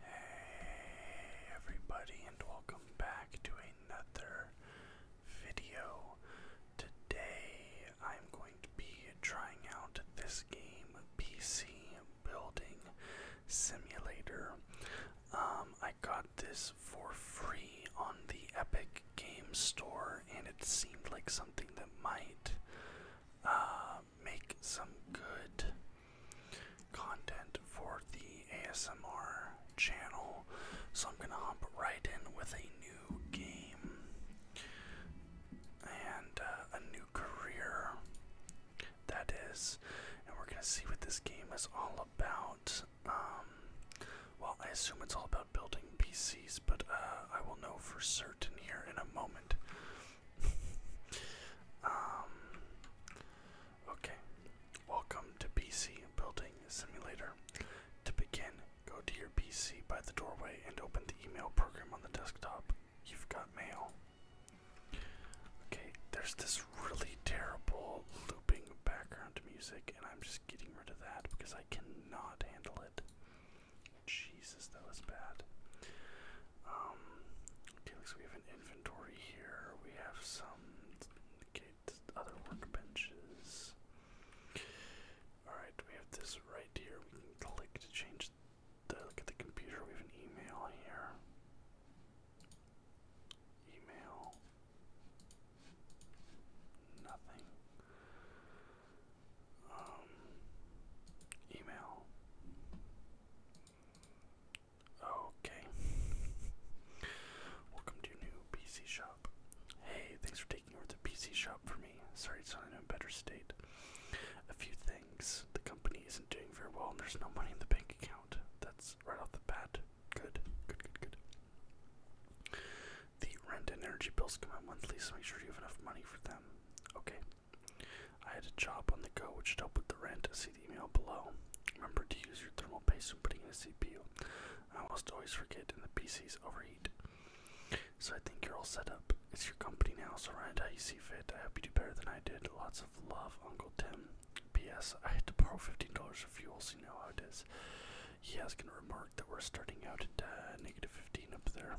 Hey everybody and welcome back to another video. Today I'm going to be trying out this game PC Building Simulator. Um, I got this for free on the Epic Games Store and it seemed like something that might uh, uh, make some good content for the ASMR channel. So I'm gonna hop right in with a new game and uh, a new career. That is, and we're gonna see what this game is all about. Um, well, I assume it's all about building PCs, but uh, I will know for certain here in a moment. Um, okay, welcome to PC Building Simulator. To begin, go to your PC by the doorway and open the email program on the desktop. You've got mail. Okay, there's this really terrible looping background music, and I'm just getting rid of that because I cannot handle it. Jesus, that was bad. Um, we have an inventory here. We have some other workbenches. Alright, we have this right here. We can click to change look at the computer. We have an email here. Email. Nothing um, email. Okay. Welcome to new PC shop. Hey, thanks for taking over the PC shop for me. Sorry it's not in a better state. A few things. The company isn't doing very well and there's no money in the bank account. That's right off the bat. Good, good, good, good. The rent and energy bills come out monthly, so make sure you have enough money for them. Okay. I had a job on the go which helped with the rent. See the email below. Remember to use your thermal paste when putting in a CPU. I almost always forget and the PCs overheat. So I think you're all set up. It's your company now, so run how you see fit. I hope you do better than I did. Lots of love, Uncle Tim. P.S. I had to borrow $15 for fuel, so you know how it is. Yes, has going remark that we're starting out at uh, 15 up there.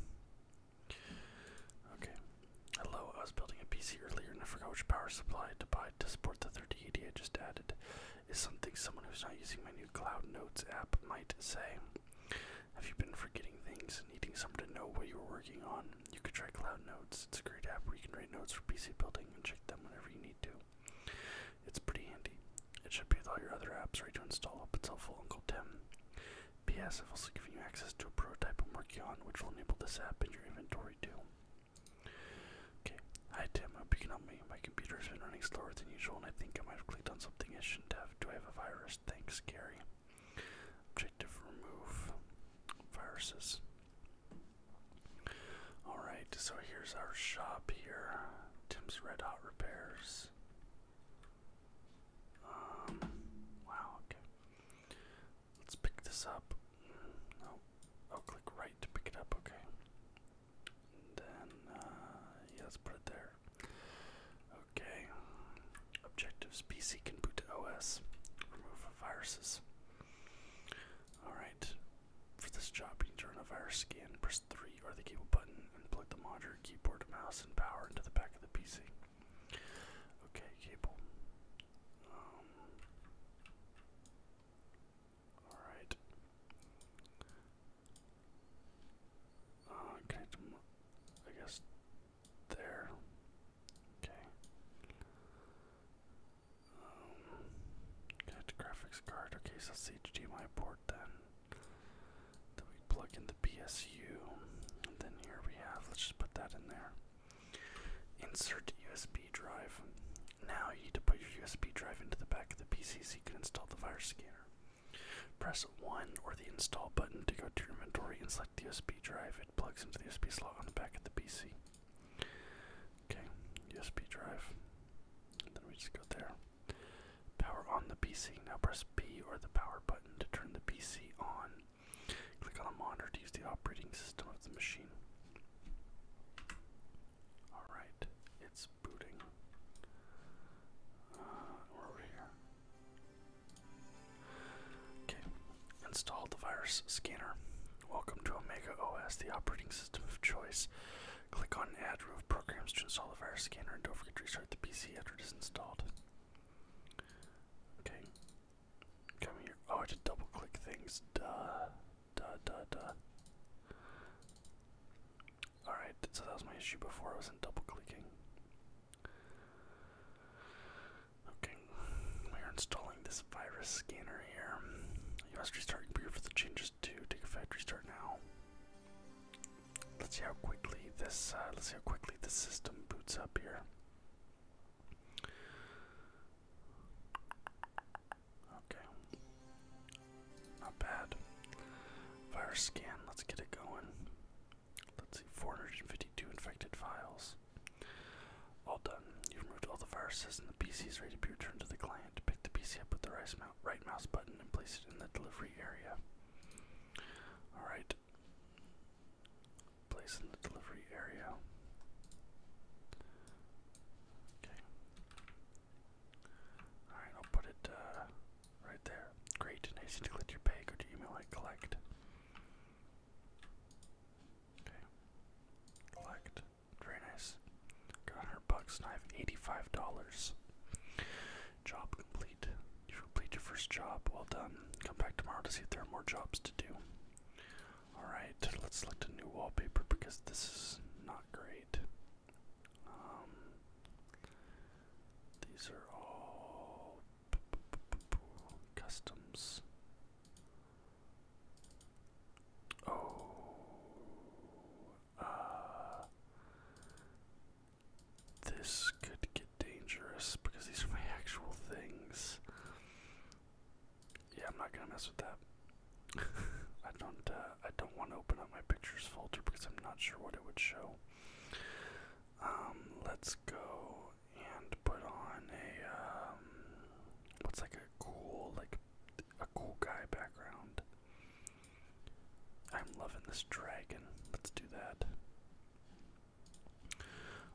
Okay. Hello, I was building a PC earlier and I forgot which power supply to buy to support the 3080 I just added. Is something someone who's not using my new Cloud Notes app might say. Have you been forgetting things and needing someone to know what you are working on? You could try Cloud Notes. It's a great app where you can write notes for PC building and check them whenever you need to. It's pretty handy. It should be with all your other apps ready to install, but it's helpful, Uncle Tim. PS, I've also given you access to a prototype of am which will enable this app in your inventory too. Okay, hi Tim, hope you can help me. My computer's been running slower than usual, and I think I might have clicked on something I shouldn't have. Do I have a virus? Thanks, Gary. Objective remove viruses. Alright, so here's our shop here. Tim's Red Hot Repairs. Um, wow, okay. Let's pick this up. No, I'll click right to pick it up, okay. then, uh, yeah, let's put it there. Okay. Objectives PC can boot to OS, remove viruses. Alright, for this job, you turn a virus scan, press 3 or the cable button, and plug the monitor, keyboard, mouse, and power into the back of the PC. Okay, cable. Um, all right. Uh, okay, I guess there. Okay. Um, get graphics card. Okay, so that's HDMI port then. Then we plug in the PSU. And then here we have, let's just put that in there. Insert USB drive. Now you need to put your USB drive into the back of the PC so you can install the virus scanner. Press 1 or the install button to go to your inventory and select the USB drive. It plugs into the USB slot on the back of the PC. Okay, USB drive. then we just go there. Power on the PC. Now press B or the power button to turn the PC on. Click on a monitor to use the operating system of the machine. Alright, it's booting. Uh, over here. Okay, install the virus scanner. Welcome to Omega OS, the operating system of choice. Click on Add Root Programs to install the virus scanner and don't forget to restart the PC after it is installed. Okay. Come here. Oh, to double click things. Duh. Duh, duh, duh. Alright, so that was my issue before. I wasn't double clicking. Okay, we're installing this virus scanner here. You must restart your computer for the changes to take a factory now. Let's see how quickly this. Uh, let's see how quickly the system boots up here. Okay, not bad. Virus scan. Let's get it going. Let's see, 452 infected files. All done. You've removed all the viruses, and the PC is ready to be returned to the client. Pick the PC up with the right mouse button and place it in the delivery area. Alright, Place in the delivery area. Okay. Alright, I'll put it uh, right there. Great and to collect your pay. Go to email I collect. Okay. Collect. Very nice. Got 100 bucks I have $85. Job complete. You've completed your first job. Well done. Come back tomorrow to see if there are more jobs to do. Alright, let's select a new wallpaper because this is not great. Um, these are all customs. Oh, uh, this could get dangerous because these are my actual things. Yeah, I'm not gonna mess with that. I don't. Uh, I don't want to open up my pictures folder because I'm not sure what it would show. Um, let's go and put on a um, what's like a cool like a cool guy background. I'm loving this dragon. Let's do that.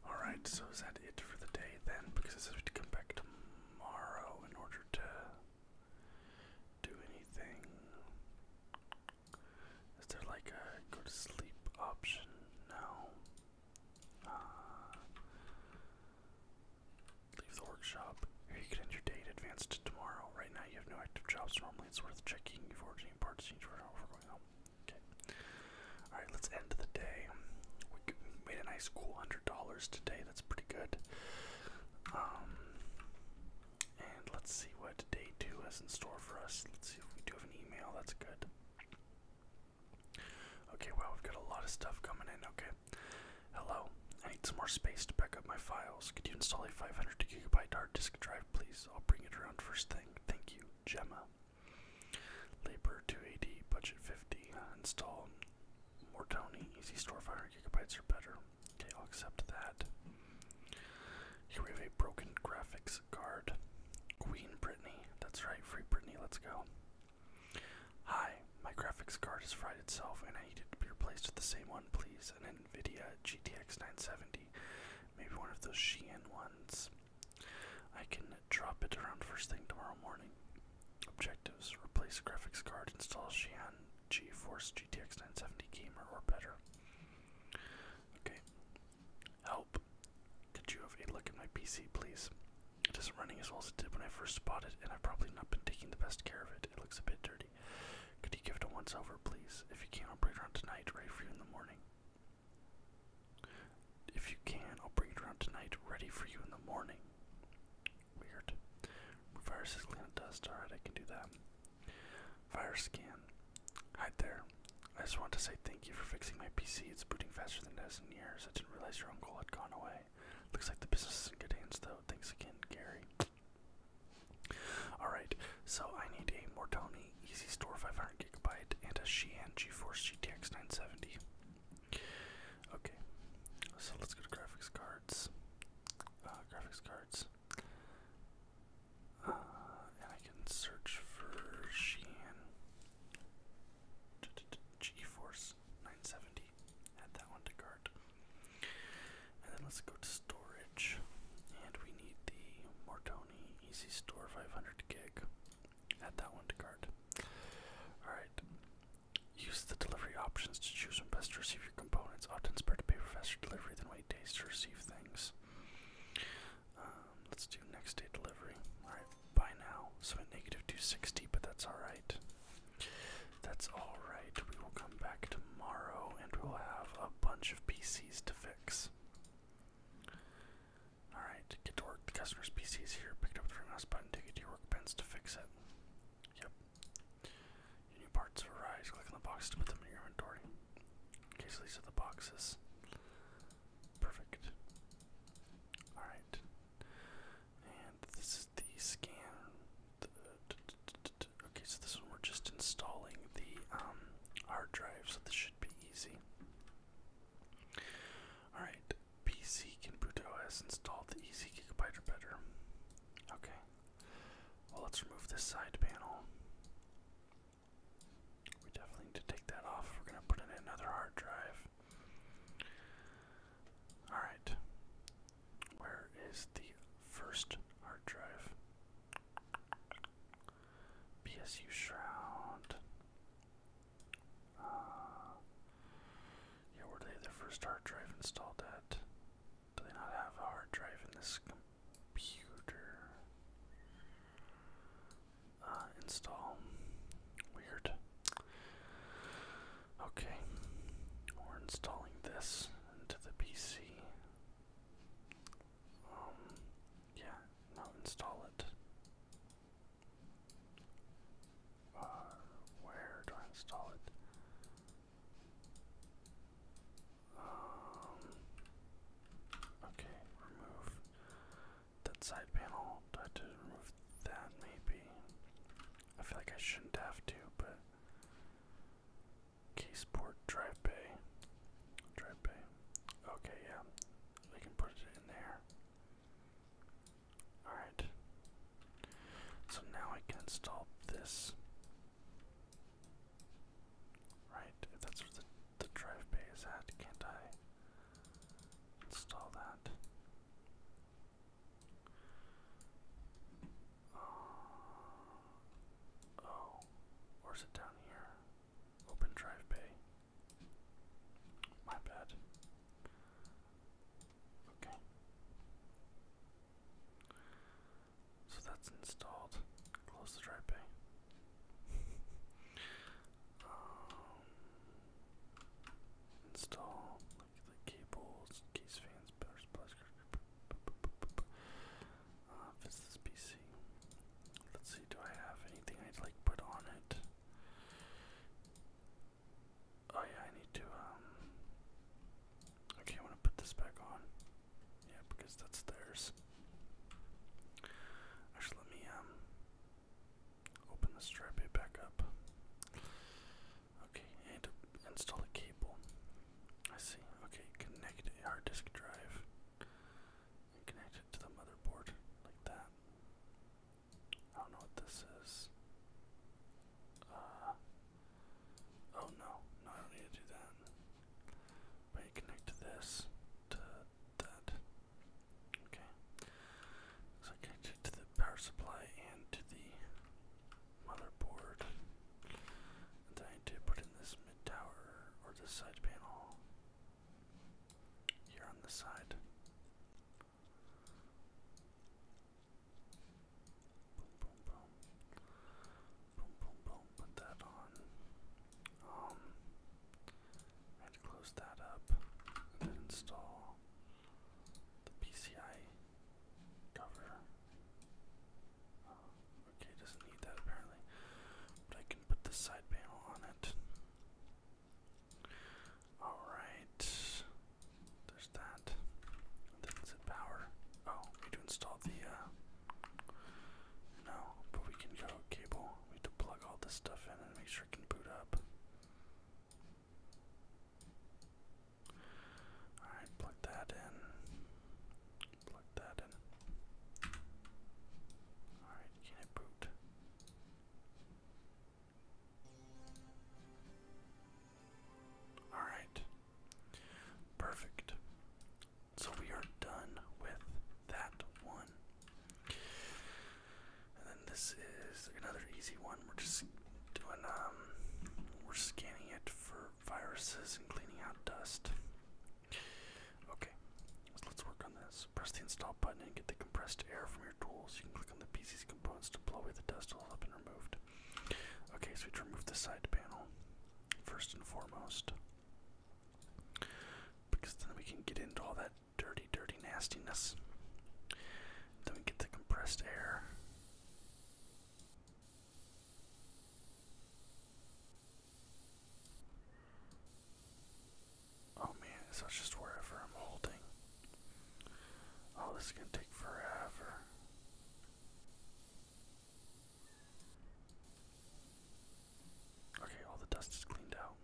Alright, so is that it for the day then? Because I says we have to come back tomorrow in order to do anything. Is there like a go to sleep option? No. Uh, leave the workshop. you can end your day advance to tomorrow. Right now you have no active jobs. Normally it's worth checking. You've parts change for Okay. All right, let's end the day. We made a nice cool hundred dollars today. That's pretty good. Um, and let's see what day two has in store for us. Let's see if we do have an email. That's good. Okay, well, we've got a lot of stuff coming in. Okay. Hello. I need some more space to back up my files. Could you install a 500 gigabyte hard disk drive please. I'll bring it around first thing. Thank you, Gemma. Labor two 280, budget 50. Install more Mortoni, easy store, fire gigabytes are better. Okay, I'll accept that. Here we have a broken graphics card. Queen Brittany, that's right, free Brittany, let's go. Hi, my graphics card has fried itself and I need it to be replaced with the same one, please. An NVIDIA GTX 970 Maybe one of those Shein ones. I can drop it around first thing tomorrow morning. Objectives replace graphics card, install Shein GeForce GTX 970 Gamer or better. Okay. Help. Could you have a look at my PC, please? It isn't running as well as it did when I first bought it, and I've probably not been taking the best care of it. It looks a bit dirty. Could you give it a once over, please? If you can't, I'll bring it around tonight, ready for you in the morning. If you can, I'll bring it around tonight, ready for you in the morning. Weird. Virus is clean of dust. Alright, I can do that. Virus scan. Hi there. I just want to say thank you for fixing my PC. It's booting faster than it has in years. I didn't realize your uncle had gone away. Looks like the business is in good hands, though. Thanks again, Gary. Alright, so I need a Mortoni Easy Store 500GB and a Sheehan GeForce GTX 970. Okay, so let's go to graphics cards. Uh, graphics cards. Uh, and I can search for Sheehan GeForce 970. Add that one to cart. And then let's go to storage. And we need the Mortoni Easy Store 500 gig. Add that one to cart. Alright. Use the delivery options to choose when best to receive your components. Often it's better to pay for faster delivery than wait days to receive things. Um, let's do next day delivery. Alright, buy now. So 260, but that's alright. That's alright. We will come back tomorrow and we'll have a bunch of PCs to fix. Alright, get to work. The customer's PC is here. Picked up the three mouse button. Take it to your workbench to fix it. Yep. new parts have Click on the box to put them in your inventory. Okay, so these are the boxes. Perfect. Alright. And this is the scan. Okay, so this one we're just installing the um, hard drive, so this should be easy. Alright, PC can boot OS installed the Easy Gigabyte or Okay. Well, let's remove this side panel. We definitely need to take that off. We're going to put in another hard drive. Alright. Where is the first hard drive? PSU Shroud. Uh, where do they have first hard drive installed at? Do they not have a hard drive in this computer? Uh, install. Weird. Okay, we're installing this into the PC. Um, yeah, now install it. Uh, where do I install it? Um, okay, remove that side panel. Do to remove that maybe? I feel like I shouldn't have to, but Caseport drive bay. Drive bay. Okay, yeah. We can put it in there. Alright. So now I can install this. Right, if that's where the, the drive bay is at, can't I install that? oh, or oh, is it down here? Open drive bay. My bad. Okay. So that's installed. Close the drive bay. um, install like the cables, case fan Lions, uh, PC. Let's see, do I have anything I'd like put on it? Oh yeah, I need to, um, okay, I want to put this back on. Yeah, because that's theirs. Actually, let me, um, open the strip back up. Okay, I need to install a cable. I see. Okay, connect a hard disk drive and connect to the motherboard like that. I don't know what this is. Uh, oh no, not need to that. But you connect this to that. Okay. So I connect it to the power supply and to the motherboard. I need to put in this mid tower or this side panel here on the side. Boom, boom, boom. Boom, boom, Put that on. Um, I had to close that up then install the PCI cover. Okay, it doesn't need that apparently. But I can put the side panel on it. Alright. There's that. then is power? Oh, need to install the uh, no, but we can go cable. We need to plug all this stuff in and make sure it can boot up. Alright, plug that in plug that in. Alright, can it boot? Alright. Perfect. So we are done with that one. And then this is another easy one. We're just doing um we're scanning it for viruses and cleaning out dust. Okay, let's work on this. Press the install button and get the compressed air from your tools. You can click on the PC's components to blow away the dust all up and removed. Okay, so we remove the side panel first and foremost. Because then we can get into all that dirty, dirty nastiness. Then we get the compressed air. Oh man, so it's just wherever I'm holding. Oh, this is gonna take forever. Okay, all the dust is cleaned out.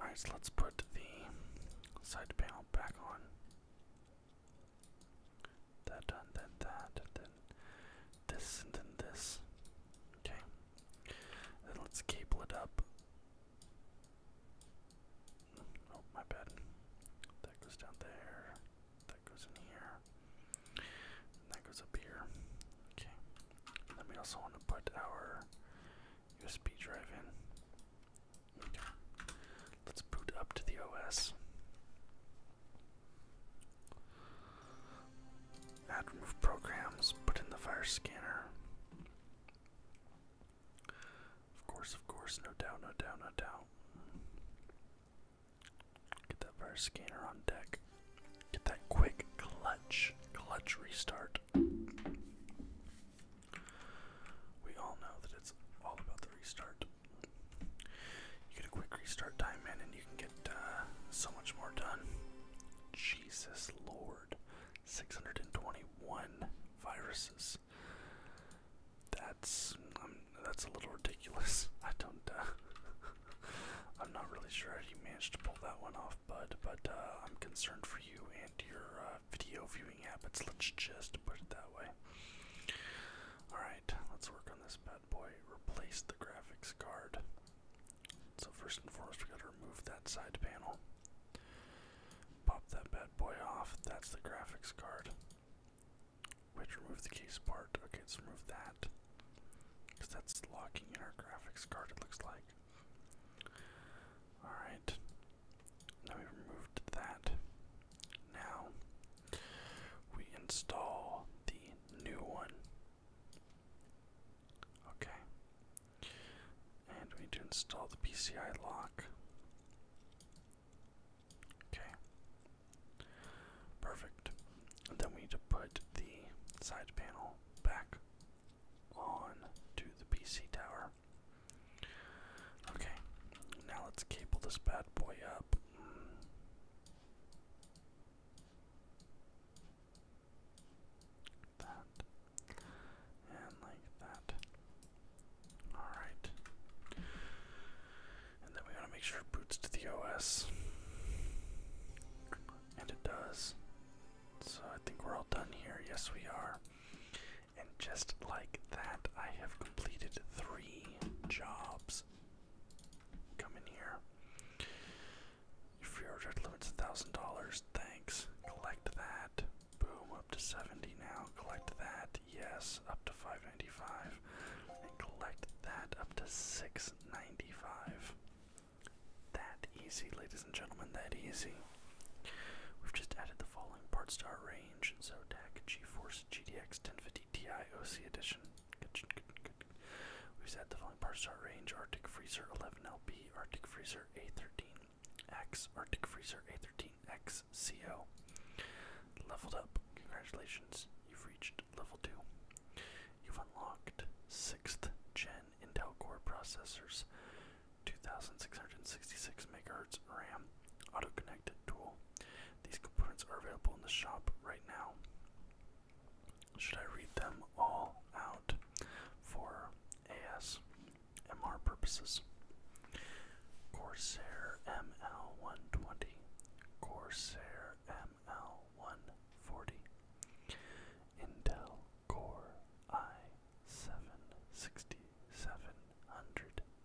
Alright, so let's put the side panel back on that, and then that, and then this, and then this. Okay. Then let's cable it up. Oh, my bad. That goes down there. That goes in here. that goes up here. Okay. then we also want to put our USB drive in. Okay. Let's boot up to the OS. Add remove programs, put in the fire scanner. Of course, of course, no doubt, no doubt, no doubt. Get that fire scanner on deck. Get that quick clutch, clutch restart. We all know that it's all about the restart. You get a quick restart time in, and you can get uh, so much more done. Jesus Lord, 621 viruses. That's um, that's a little ridiculous. I don't. Uh, I'm not really sure how you managed to pull that one off, bud. But uh, I'm concerned for you and your uh, video viewing habits. Let's just put it that way. All right let's work on this bad boy. Replace the graphics card. So, first and foremost, we gotta remove that side panel. Pop that bad boy off. That's the graphics card. Which remove the case part. Okay, let's remove that. Because that's locking in our graphics card, it looks like. Alright. Now we removed that. Now we install the new one. Okay. And we need to install the PCI lock. Okay. Perfect. then we need to put the side panel back on to the PC tower. Okay. Now let's cable this bad boy up that, and like that. Alright. And then we want to make sure it boots to the OS. And it does. So I think we're all done here. Yes, we are. And just like that, I have completed three jobs. Come in here. Your free order limits $1,000. Thanks. Collect that. Boom, up to 70 now. Collect that. Yes, up to 595. And collect that up to 695. That easy, ladies and gentlemen, that easy. We've just added the following parts to our range, Zotac, GeForce, GTX 1050 DTI edition. We've set the following parts are range Arctic Freezer 11LB, Arctic Freezer A13X, Arctic Freezer a 13 xco CO. Leveled up. Congratulations, you've reached level 2. You've unlocked 6th gen Intel Core processors, 2666 MHz RAM, auto connected tool, these components are available in the shop right now. Should I read them all out for ASMR purposes? Corsair ML120, Corsair ML140, Intel Core i7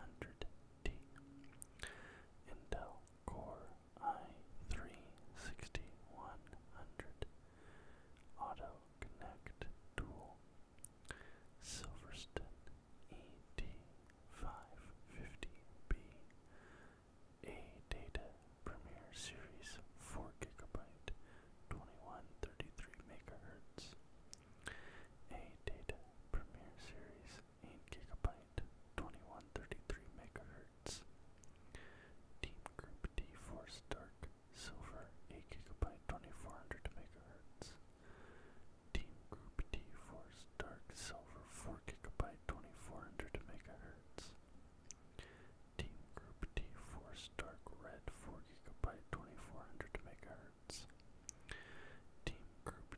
100T. Intel Core i3-6100 Auto Connect Dual Silverston et 550 ba data premier series 4 gb 2133 megahertz A Data Premier Series 4GB 2133MHz A Data Premier Series gigabyte, 2133 megahertz. Team Group D Force Dark Silver, 8 gigabyte, 2400 megahertz. Team Group D Force Dark Silver, 4 gigabyte, 2400 megahertz. Team Group D Force Dark Red, 4 gigabyte, 2400 megahertz. Team Group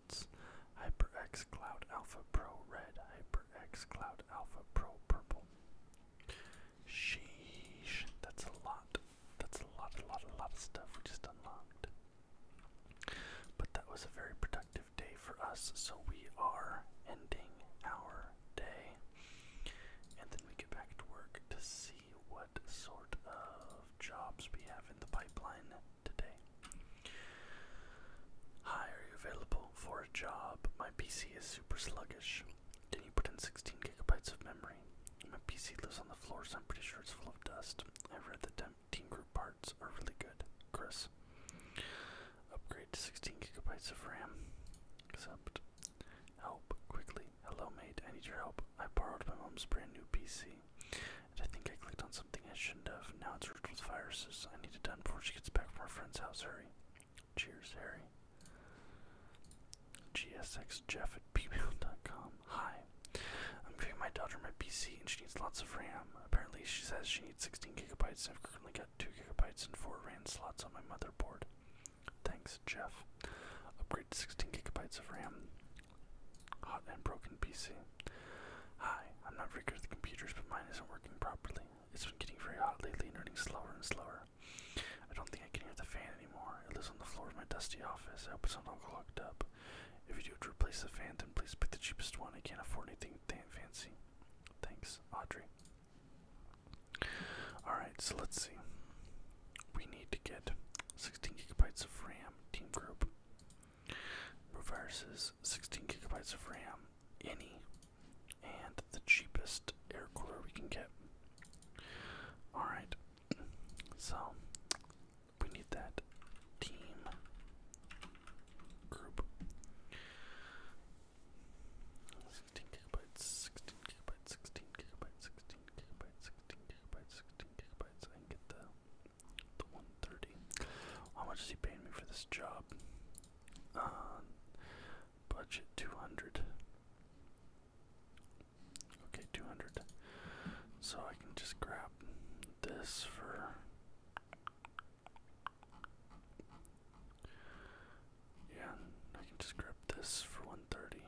Hertz, HyperX Cloud Alpha Pro Red, HyperX Cloud Alpha Pro Purple. Sheesh, that's a lot. That's a lot, a lot, a lot of stuff we just unlocked. But that was a very productive day for us, so we are ending our day. And then we get back to work to see what sort of jobs we have in the pipeline Hi, are you available for a job? My PC is super sluggish. Can you put in 16 gigabytes of memory? My PC lives on the floor, so I'm pretty sure it's full of dust. I read the team group parts are really good. Chris, upgrade to 16 gigabytes of RAM. Accept. Help quickly. Hello, mate. I need your help. I borrowed my mom's brand new PC. I think I clicked on something I shouldn't have. Now it's riddled with viruses. I need it done before she gets back from her friend's house, Hurry. Cheers, Harry. GSX Jeff at pmail.com. Hi. I'm giving my daughter my PC and she needs lots of RAM. Apparently, she says she needs 16 gigabytes, and I've currently got 2 gigabytes and 4 RAM slots on my motherboard. Thanks, Jeff. Upgrade to 16 gigabytes of RAM. Hot and broken PC. Hi, I'm not very good at computers, but mine isn't working properly. It's been getting very hot lately and running slower and slower. I don't think I can hear the fan anymore. It lives on the floor of my dusty office. I hope it's not all clogged up. If you do replace the fan, then please pick the cheapest one. I can't afford anything fancy. Thanks, Audrey. Alright, so let's see. We need to get 16 gigabytes of RAM, Team Group. Reverses 16 gigabytes of RAM, any, and the cheapest air cooler we can get. Alright, so we need that team group. 16 gigabytes, 16 gigabytes, 16 gigabytes, 16 gigabytes, 16 gigabytes, 16 gigabytes. I can get the the 130. How much is he paying me for this job? Um, budget 200. Okay, 200. So I can just grab this for. Yeah, I can just grab this for 130.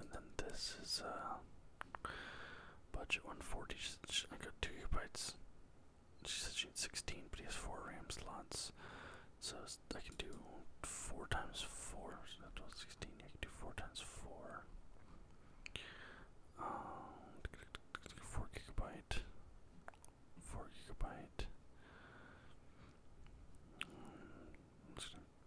And then this is uh budget 140. She, I got two gigabytes. She said she needs 16, but he has four RAM slots, so I can do four times four. So that's 16. I can do four times four. Um, four gigabyte. Four gigabyte. Mm,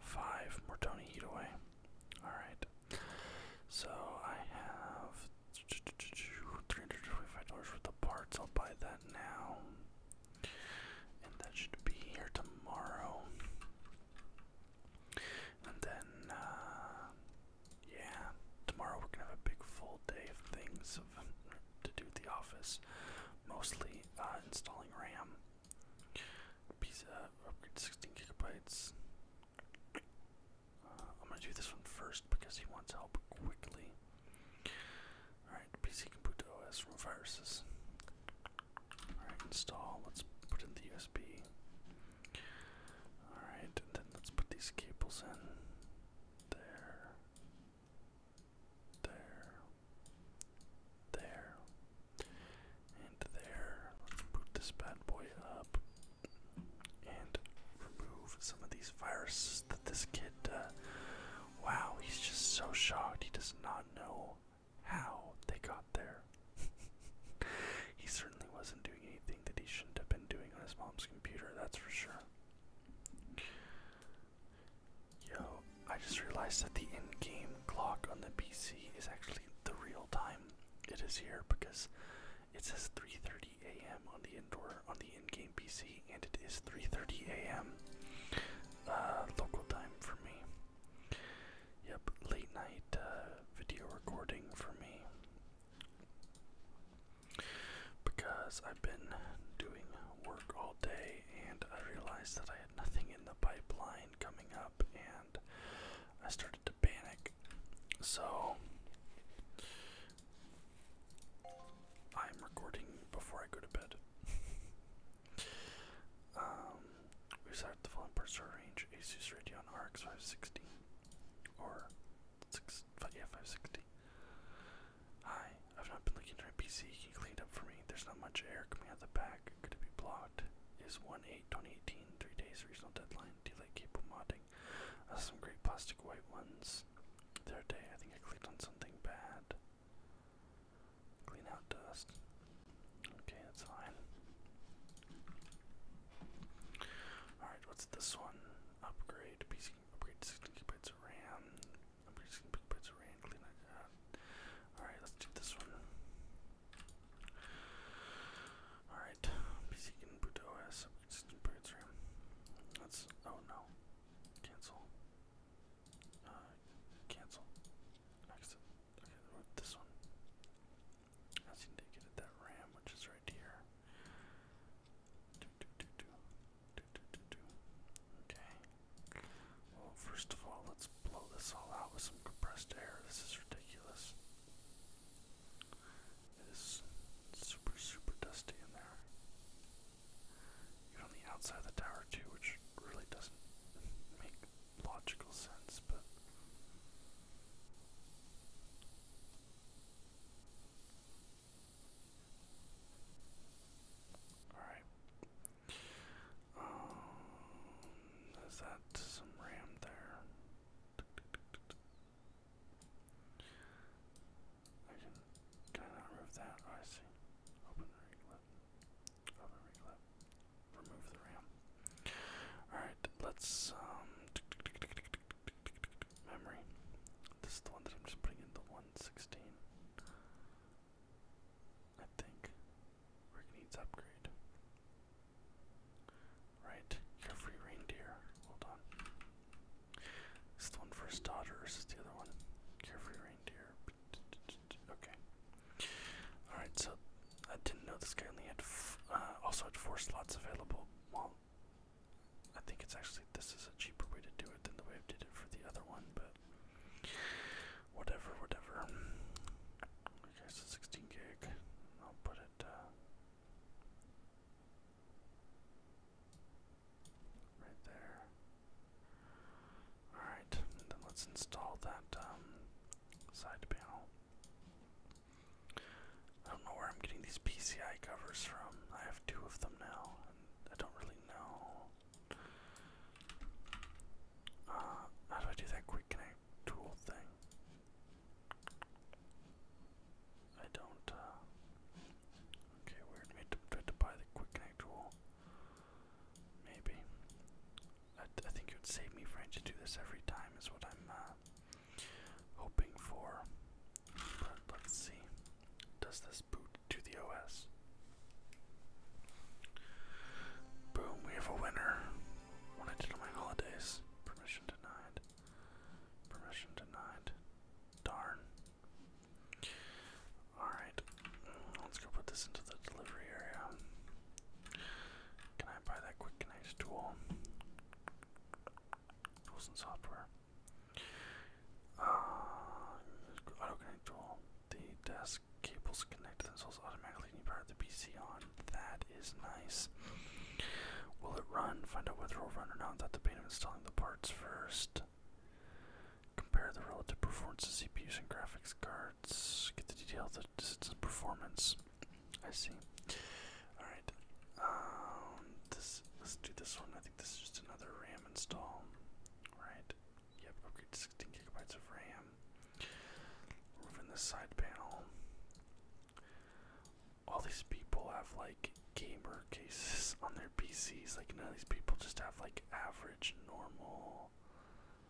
five more Tony Heat away. Alright. So I have $325 worth the parts. I'll buy that now. And that should be here tomorrow. And then, uh, yeah, tomorrow we're gonna have a big full day of things to do at the office. Mostly uh, installing RAM. Pizza upgrade 16 gigabytes. Uh, I'm gonna do this one first because he wants help quickly. Alright, PC can OS from viruses. Alright, install. Let's put in the USB. Alright, then let's put these cables in. There. There there, and there. Let's boot this bad boy up and remove some of these viruses that this kid. Uh, wow, he's just so shocked. He does not know how they got there. he certainly wasn't doing anything that he shouldn't have been doing on his mom's computer, that's for sure. Yo, I just realized that the in game clock on the PC is actually the real time it is here because it says 3:30 a.m. on the indoor on the in-game PC and it is 3:30 a.m. Uh, local time for me. Yep, late night uh, video recording for me because I've been doing work all day and I realized that I had nothing in the pipeline coming up, and I started to panic. So I'm recording before I go to bed. Um, we started the full purser range Asus Radeon RX 560 or six, five, yeah 560. Hi, I've not been looking at my PC. Can you clean it up for me? There's not much air coming out the back could be blocked is 1 8 2018, 3 days regional deadline. Delay keep modding. Uh, some great plastic white ones. The other day, I think I clicked on something bad. Clean out dust. Okay, that's fine. Alright, what's this one? Upgrade. PC upgrade 16 gigabytes RAM. I'm just gonna big bits of rain, clean it out. Alright, let's do this one. Alright, PC can boot OS, system boots RAM. Let's, oh no, cancel. Uh, cancel. Exit. Okay, this one. I seem to get at that RAM, which is right here. Do, do, do, do. Do, do, do, do. Okay. Well, first of all, let's blow this all out with some compressed air. This is ridiculous. It is super, super dusty in there. Even the outside of the tower, too, which really doesn't make logical sense, but. Alright, um, is that some RAM there? I can, can I remove that? I see. Open the reclip. Open the reclip. Remove the RAM. Alright, let's, um, memory. This is the one that I'm just putting into 116. I think. Rick needs upgrade. Right, you reindeer. Hold on. Is the one for his daughter or is this the other one? Carefree reindeer. Okay. Alright, so I didn't know this guy only had uh, also had four slots available. Well, I think it's actually this is a cheaper way to do it than the way I did it for the other one, but Whatever, whatever. Okay, so 16 gig. I'll put it uh, right there. Alright, then let's install that um, side panel. I don't know where I'm getting these PCI covers from. I have two of them now, I don't really know. Uh, how do I do that quick connect tool thing? I don't, uh, okay, weird, we to, we to buy the quick connect tool, maybe. I, I think it would save me for to do this every time is what I'm, uh, hoping for, but let's see, does this boot to the OS. Boom, we have a winner. What I did on my holidays. Permission denied. Permission denied. Darn. Alright, let's go put this into the delivery area. Can I buy that quick connect tool? Tools and software. Uh, auto the desk cables connect themselves automatically when you power the PC on. That is nice. Will it run? Find out whether it will run or not without the pain of installing the parts first. Compare the relative performance of CPUs and graphics cards. Get the detail of the performance. I see. Alright. Um, this, let's do this one. I think this is just another RAM install. Right. Yep, upgrade 16 gigabytes of RAM. Moving this side panel. All these people have like gamer cases on their PCs. Like none of these people just have like average, normal,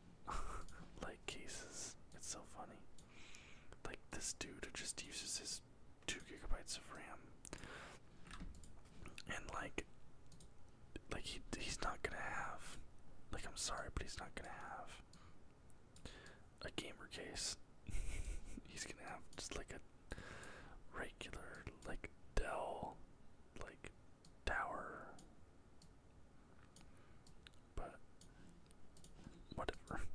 like cases. It's so funny. Like this dude just uses his two gigabytes of RAM, and like like he he's not gonna have like I'm sorry, but he's not gonna have a gamer case. he's gonna have just like a regular like Dell like tower. But whatever.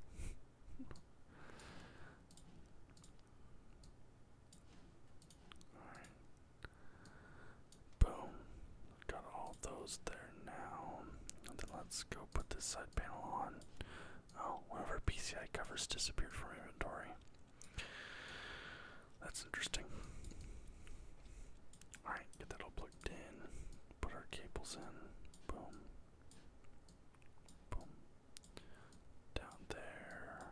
Alright. Boom. Got all those there now. then let's go put this side panel on. Oh, one of our PCI covers disappeared from inventory. That's interesting. Alright, get that all plugged in. Put our cables in. Boom. Boom. Down there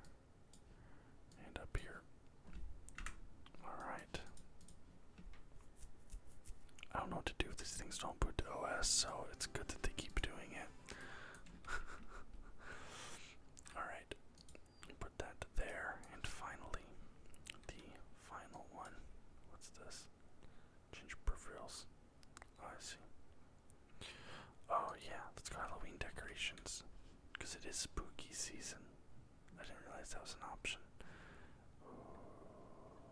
and up here. Alright. I don't know what to do. if These things don't boot to OS, so it's good that they keep doing it. Alright. Put that there. And finally, the final one. What's this? Change peripherals. Oh, I see. Oh, yeah, let's go Halloween decorations. Because it is spooky season. I didn't realize that was an option.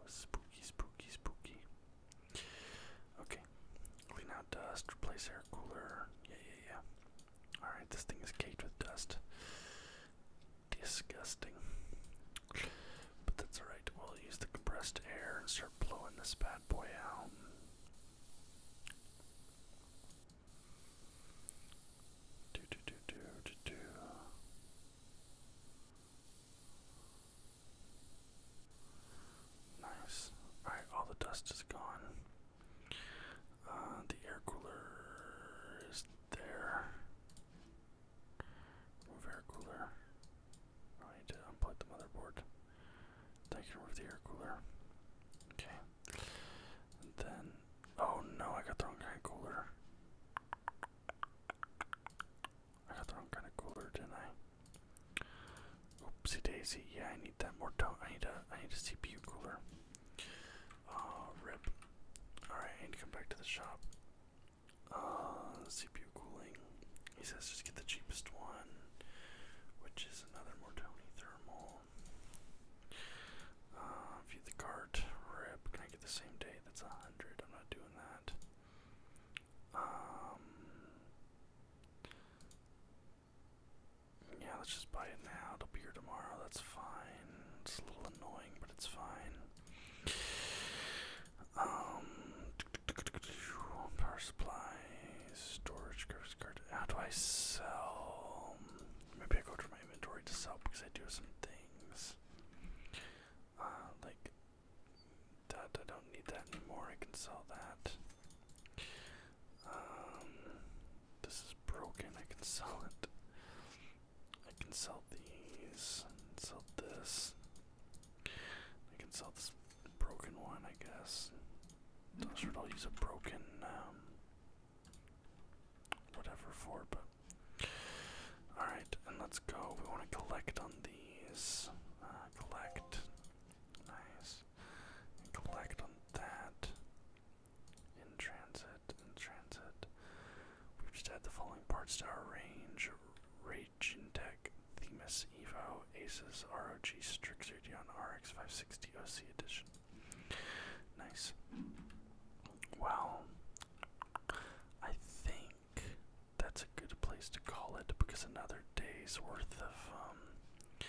spooky, spooky, spooky. Okay, clean out dust, replace air cooler. Yeah, yeah, yeah. Alright, this thing is caked with dust. Disgusting. But that's alright. We'll use the compressed air and start blowing this bad boy out. Do do do do do do. Nice. all the dust is gone. Uh, the air cooler is there. Move air cooler. I need to unplug the motherboard. Then I can the air cooler. Okay then, oh no, I got the wrong kind of cooler. I got the wrong kind of cooler, did I? Oopsie daisy. Yeah, I need that more. Dough. I need a. I need a CPU cooler. Uh, rip. All right, I need to come back to the shop. Uh, CPU cooling. He says just get the cheapest one, which is another more Tony thermal. Uh, view the cart. Rip. Can I get the same day? That's a hundred. I'm not doing that. Um, yeah, let's just buy it now. It'll be here tomorrow. That's fine. It's a little annoying, but it's fine. Um, power supply, storage, card. How do I sell? maybe I go to my inventory to sell because I do some things. Uh, like that, I don't need that anymore. I can sell that. Um, this is broken. I can sell it. I can sell these. I can sell this. I can sell this broken one, I guess. So mm-hmm. should I use a broken um, whatever for, but alright, and let's go. We want to collect on these. Uh, collect. Nice. collect on that. In transit. In transit. We've just had the following parts to our range. Rage in Tech, Themis Evo, Aces, ROG, Strix Strixerdion, RX 560 OC Edition. Nice. Well, I think that's a good place to call it because another day's worth of um,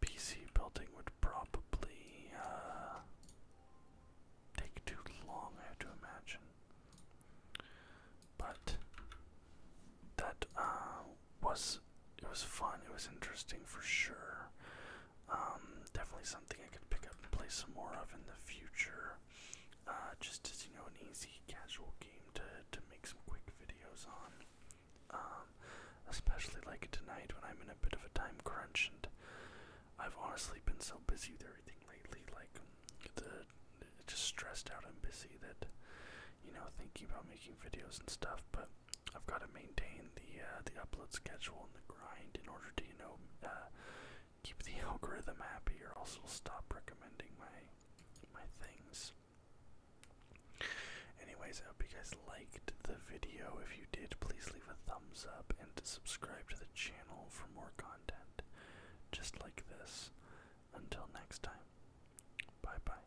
PC building would probably uh, take too long, I have to imagine. But that uh, was it was fun. It was interesting for sure. Um, definitely something I could pick up and play some more of in the future. Uh, just as you know, an easy casual game to to make some quick videos on. Um, especially like tonight when I'm in a bit of a time crunch, and I've honestly been so busy with everything lately, like the just stressed out and busy that you know thinking about making videos and stuff. But I've got to maintain the uh, the upload schedule and the grind in order to you know uh, keep the algorithm happy, or else it'll stop recommending my my things. Anyways, I hope you guys liked the video. If you did, please leave a thumbs up and subscribe to the channel for more content just like this. Until next time, bye bye.